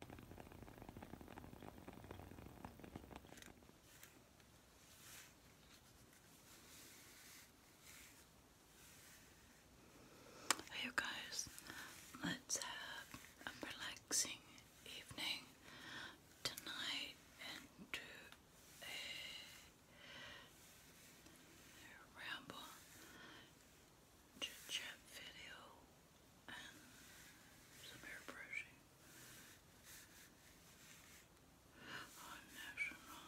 Hey you guys, let's have a relaxing evening tonight and do a ramble chat video and some airbrushing on National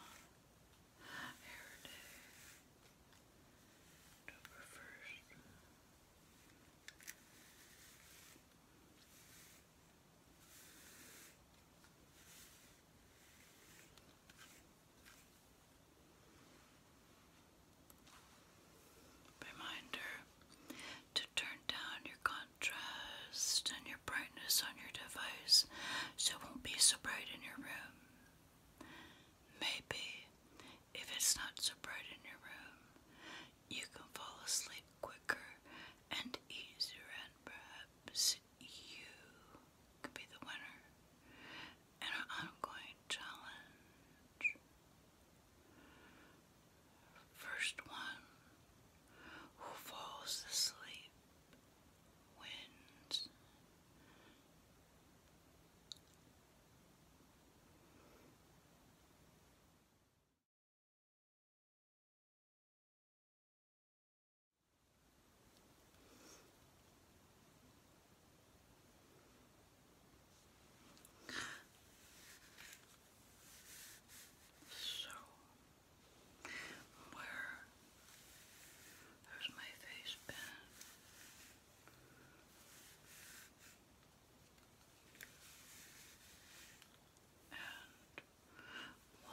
Hair Day, October 1st. I Reminder to turn down your contrast and your brightness on your device so it won't be so bright in your room. Maybe if it's not so bright in your room, you can fall asleep quicker and easier, and perhaps you could be the winner an ongoing challenge. First one who falls asleep wins. So, where has my face been? And why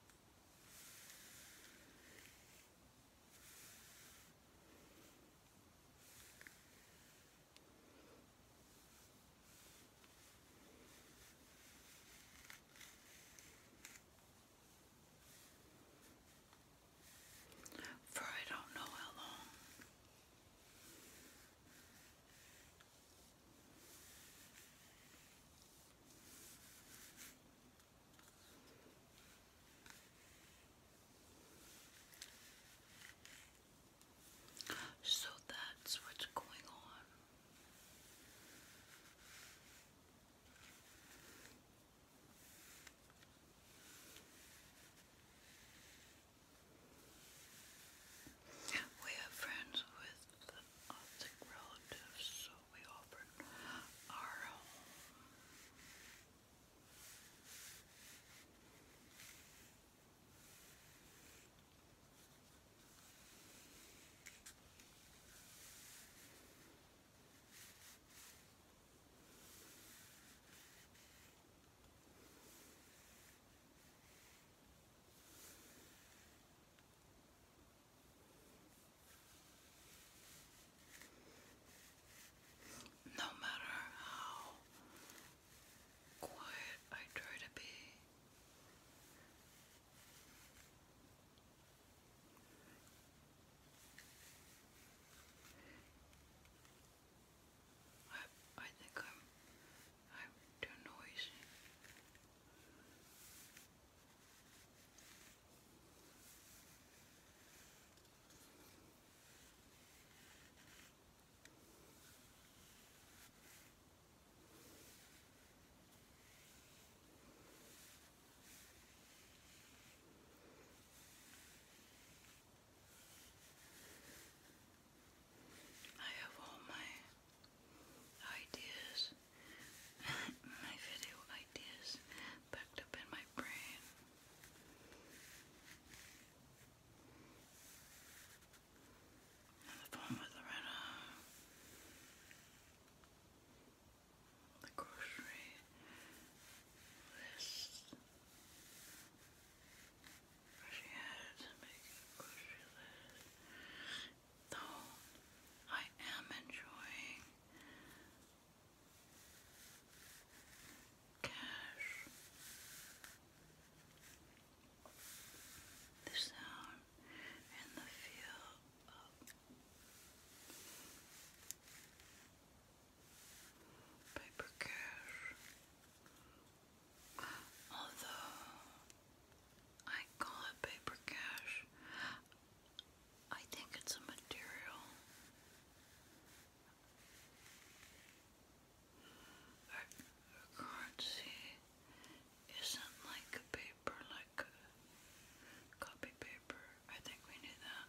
For I don't know how long. So that's what's going on. We have friends with with our relatives, so we offered our home. No matter how quiet I try to be, I I think I'm I'm too noisy. I have all my ideas, my video ideas packed up in my brain. the phone with Loretta, the grocery list. She had to make a grocery list though I am enjoying cash. The sound and the feel of paper cash. Although I call it paper cash. I think it's a material. currency isn't like paper, like copy paper. I think we knew that.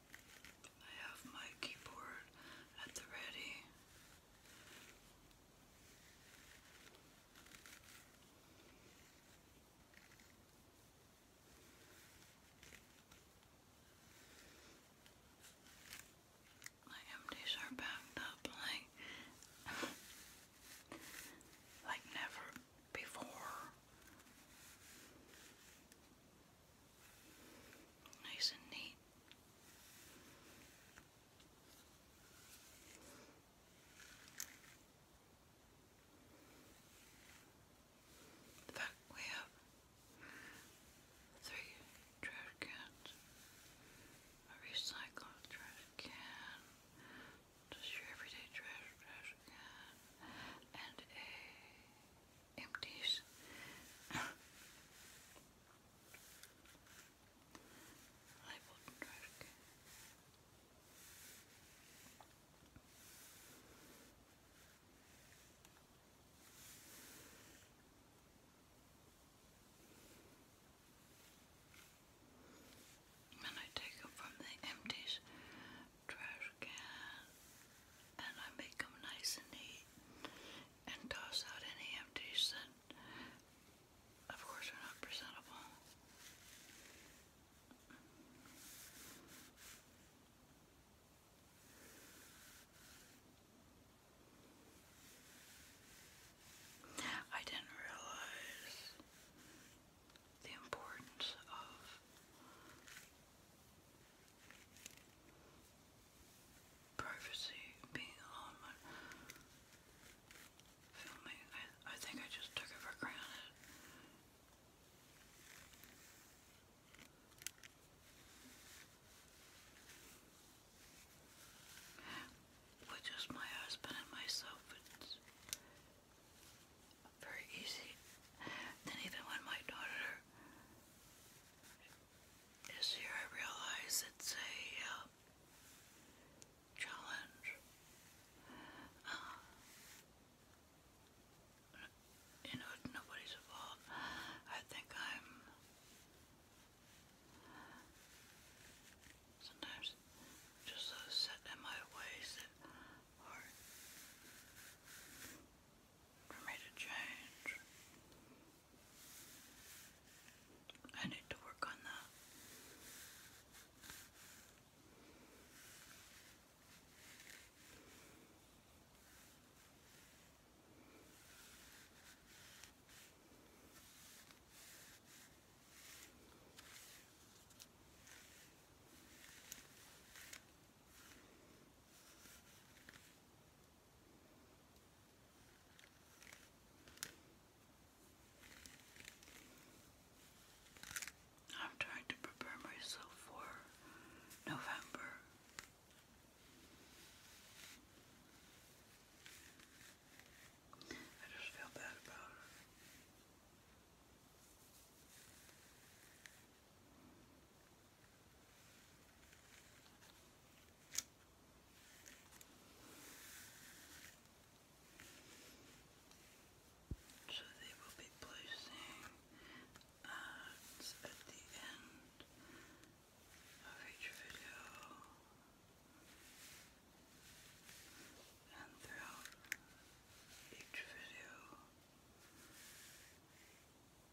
I have my keyboard at the ready. My empties are backed up like like never before. Nice and neat. In fact, we three trash cans, a recycled trash can, just your everyday trash, trash can, and a empties. Labeled trash can. And I take them from the empties trash can and I make them nice and neat and toss out any empties that, of course, are not presentable. I didn't realize the importance of privacy, being alone when filming. I think I just took it for granted. With just my husband and myself, it's very easy. Then even when my daughter this year I realize it's a uh, challenge. Uh, you know, nobody's involved. I think I'm. Sometimes just so set in my ways that for me to change. I need to work on that. I'm trying to prepare myself for November. I just feel bad about it. So they will be placing at the end of each video and throughout each video.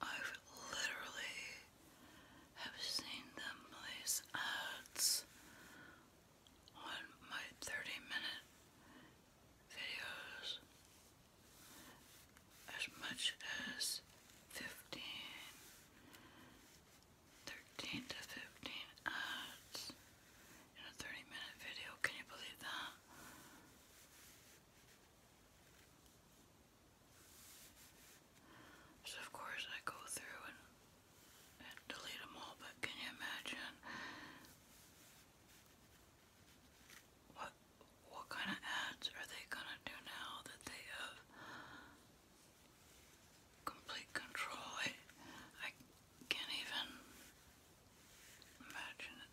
I've literally have seen them place ads on my 30-minute videos as much as 15, to 15 ads in a 30-minute video. Can you believe that? So of course I go through and, delete them all, but can you imagine what what kind of ads are they gonna do now that they have complete control? I, I can't even imagine it.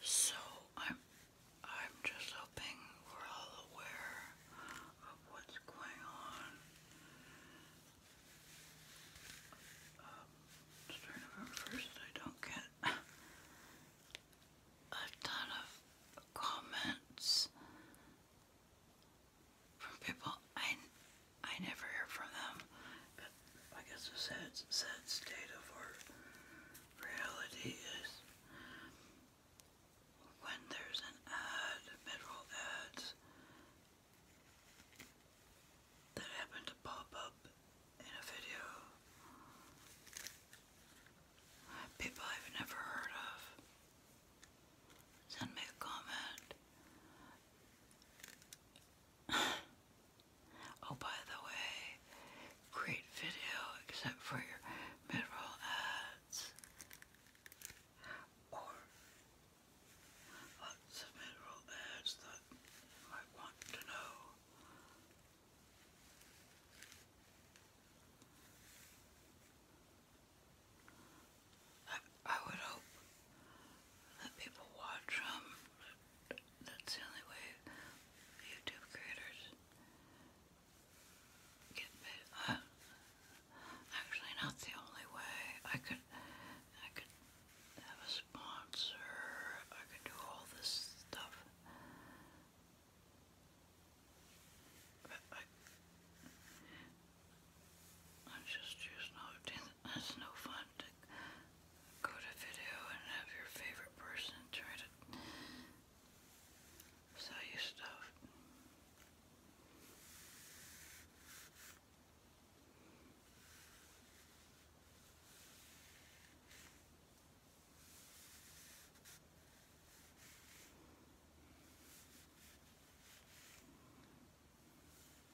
So I'm I'm just hoping we're all aware of what's going on. Um, just first I don't get a ton of comments from people I, I never hear from them. But I guess the sad, sad state of our reality is when there's an ad, mid ads, that happen to pop up in a video, people I've never heard of send me a comment oh, by the way, great video except for your mid ads. Or lots of mid ads that you want to know. I, would hope that people watch them. Um, that's the only way YouTube creators get paid. Uh, actually, not the only way. I could, I could have a sponsor. I could do all this stuff. I, I just choose not that's no fun to go to video and have your favorite person try to sell you stuff.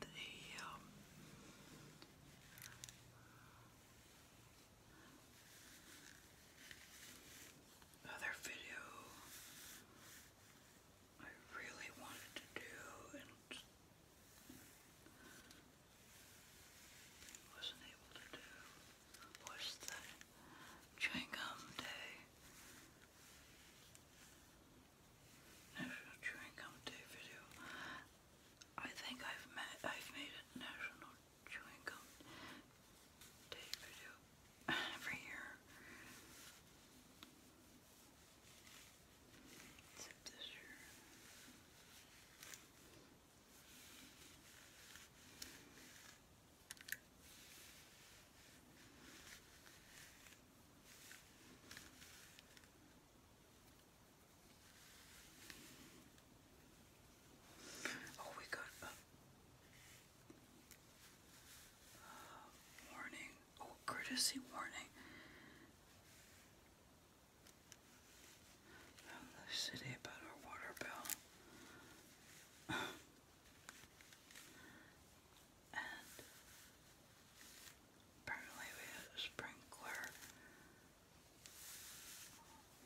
the um, other video I really wanted to do and wasn't able to do was the chewing day. National Chewing Day video. I think I've made a National Chewing Day video every year. Except this year. Oh, we got a warning. Oh, courtesy warning. From the city about our water bill. apparently we had a sprinkler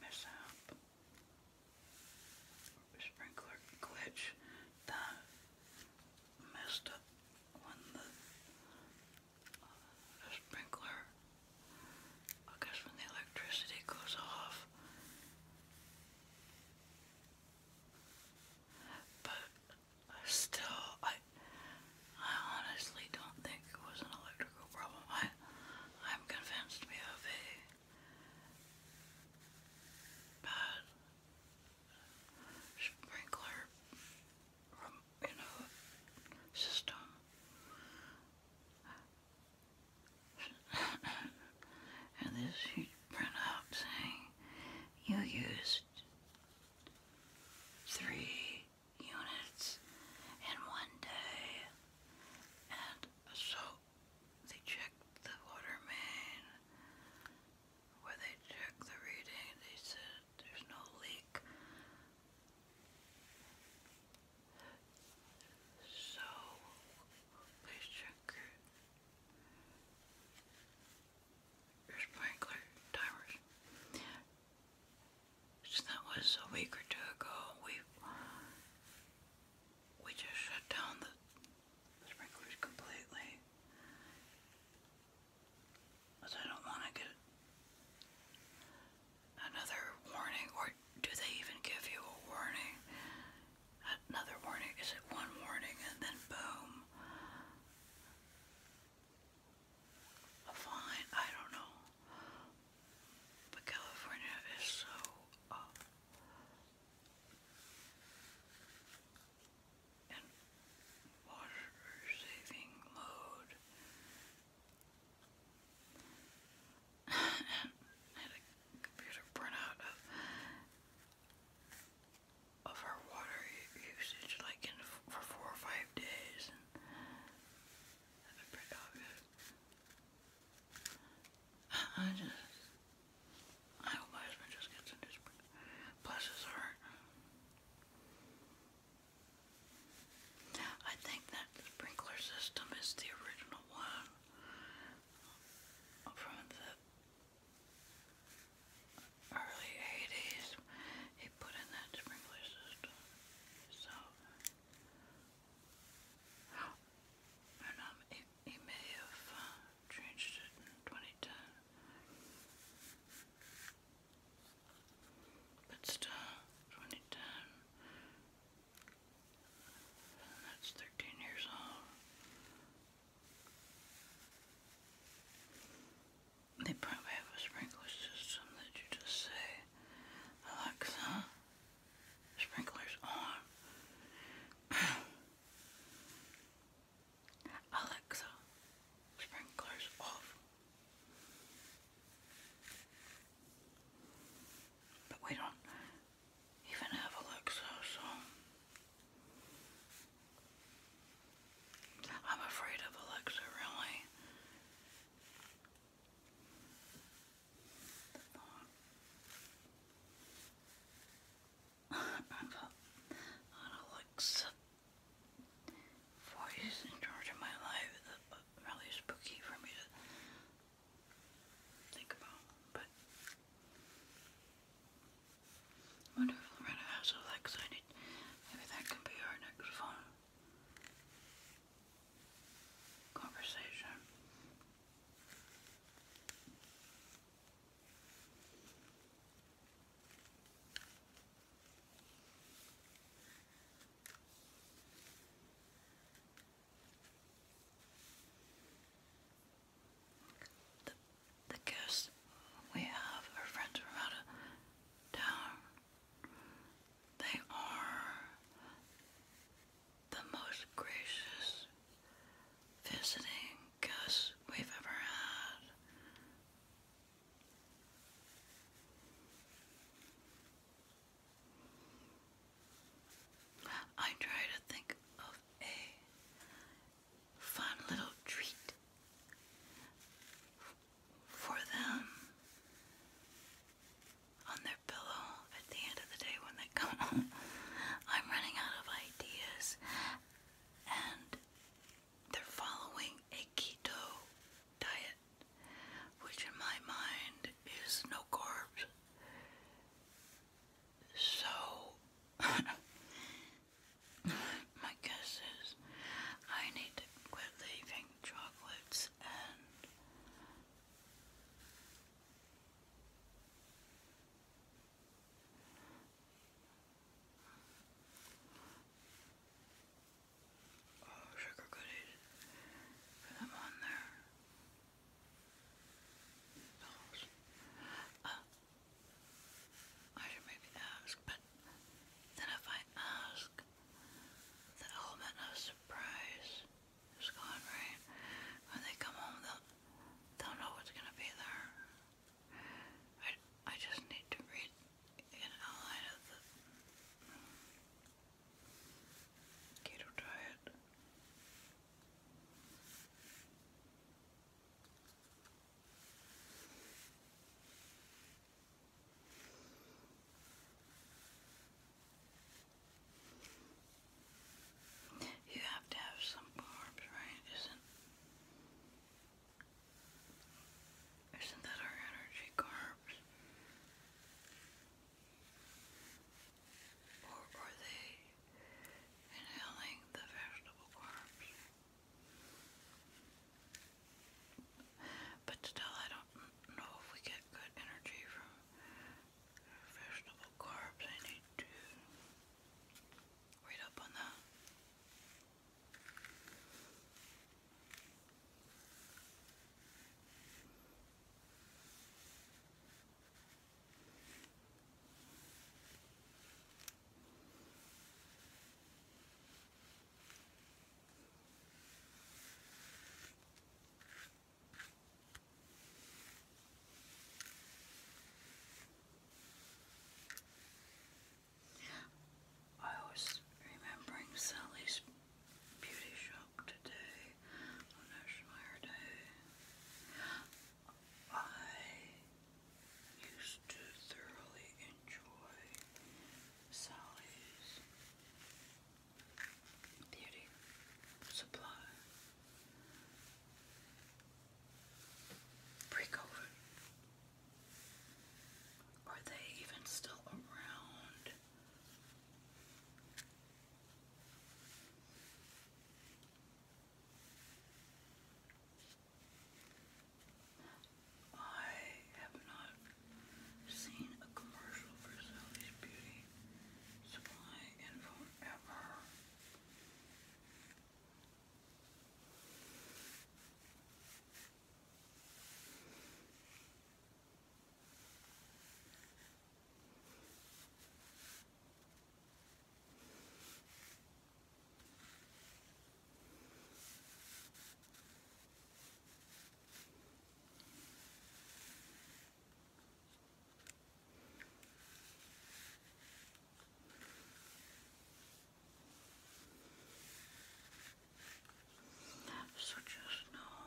mishap. Sprinkler glitch that messed up when the, uh, sprinkler, I when the electricity goes off still, I, I honestly don't think it was an electrical problem. I, I'm convinced we have a bad sprinkler, um, you know, system. and this huge printout saying you used three units in one day. And so they checked the water main. Where they checked the reading, they said there's no leak. So please check sprinkler timers. that was a week or two ago. We we just shut down the sprinklers completely. Because I don't want to get another warning, or do they even give you a warning? Another warning? Is it one warning and then boom? fine, I don't know. But California is so uh, in water saving mode. had a computer printout of her water usage like for four or five days I just I hope my husband just gets into bless his heart. I think that the sprinkler system is the original one from the early 80s, he put in that sprinkler system. So, and um, he, he may have uh, changed it in 2010. But still, 2010. that's 13 years old. They probably have a sprinkler system that you just say, Alexa, sprinklers on. Alexa, sprinklers off. But we don't even have Alexa, so I'm afraid of Alexa, really. Alexa voice in charge of my life. really spooky for me to think about, but Wonderful Renna has Alexa in it. Maybe that can be our next conversation the guests we have are friends from out of town. They are the most gracious visiting guests we've ever had. I try to think of a fun little treat for them on their pillow at the end of the day when they come home. I'm running out of ideas and they're following a keto diet, which in my mind is no carbs. So My guess is I need to quit leaving chocolates and oh, sugar goodies, put them on I should maybe ask, but then if I ask, the element of surprise is gone, right? When they come home, they'll, they know what's going to be there. I, I just need to read an outline of the keto diet. You have to have some carbs, right? Isn't isn't that our energy carbs? Or are they inhaling the vegetable carbs? But still, I don't know if we get good energy from vegetable carbs. I need to read up on that. I was remembering Sally's beauty shop today on Day. I used to thoroughly enjoy Sally's beauty supply pre Are they even still around? I have not seen a commercial for Sally's Beauty Supply in forever. So just know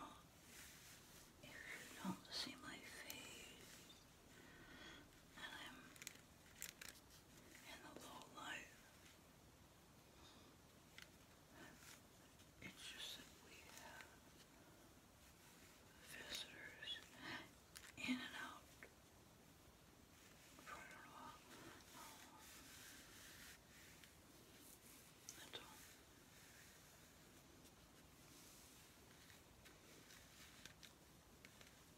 if you don't see my face, I'm in the low light. It's just that we have visitors in and out for a while. That's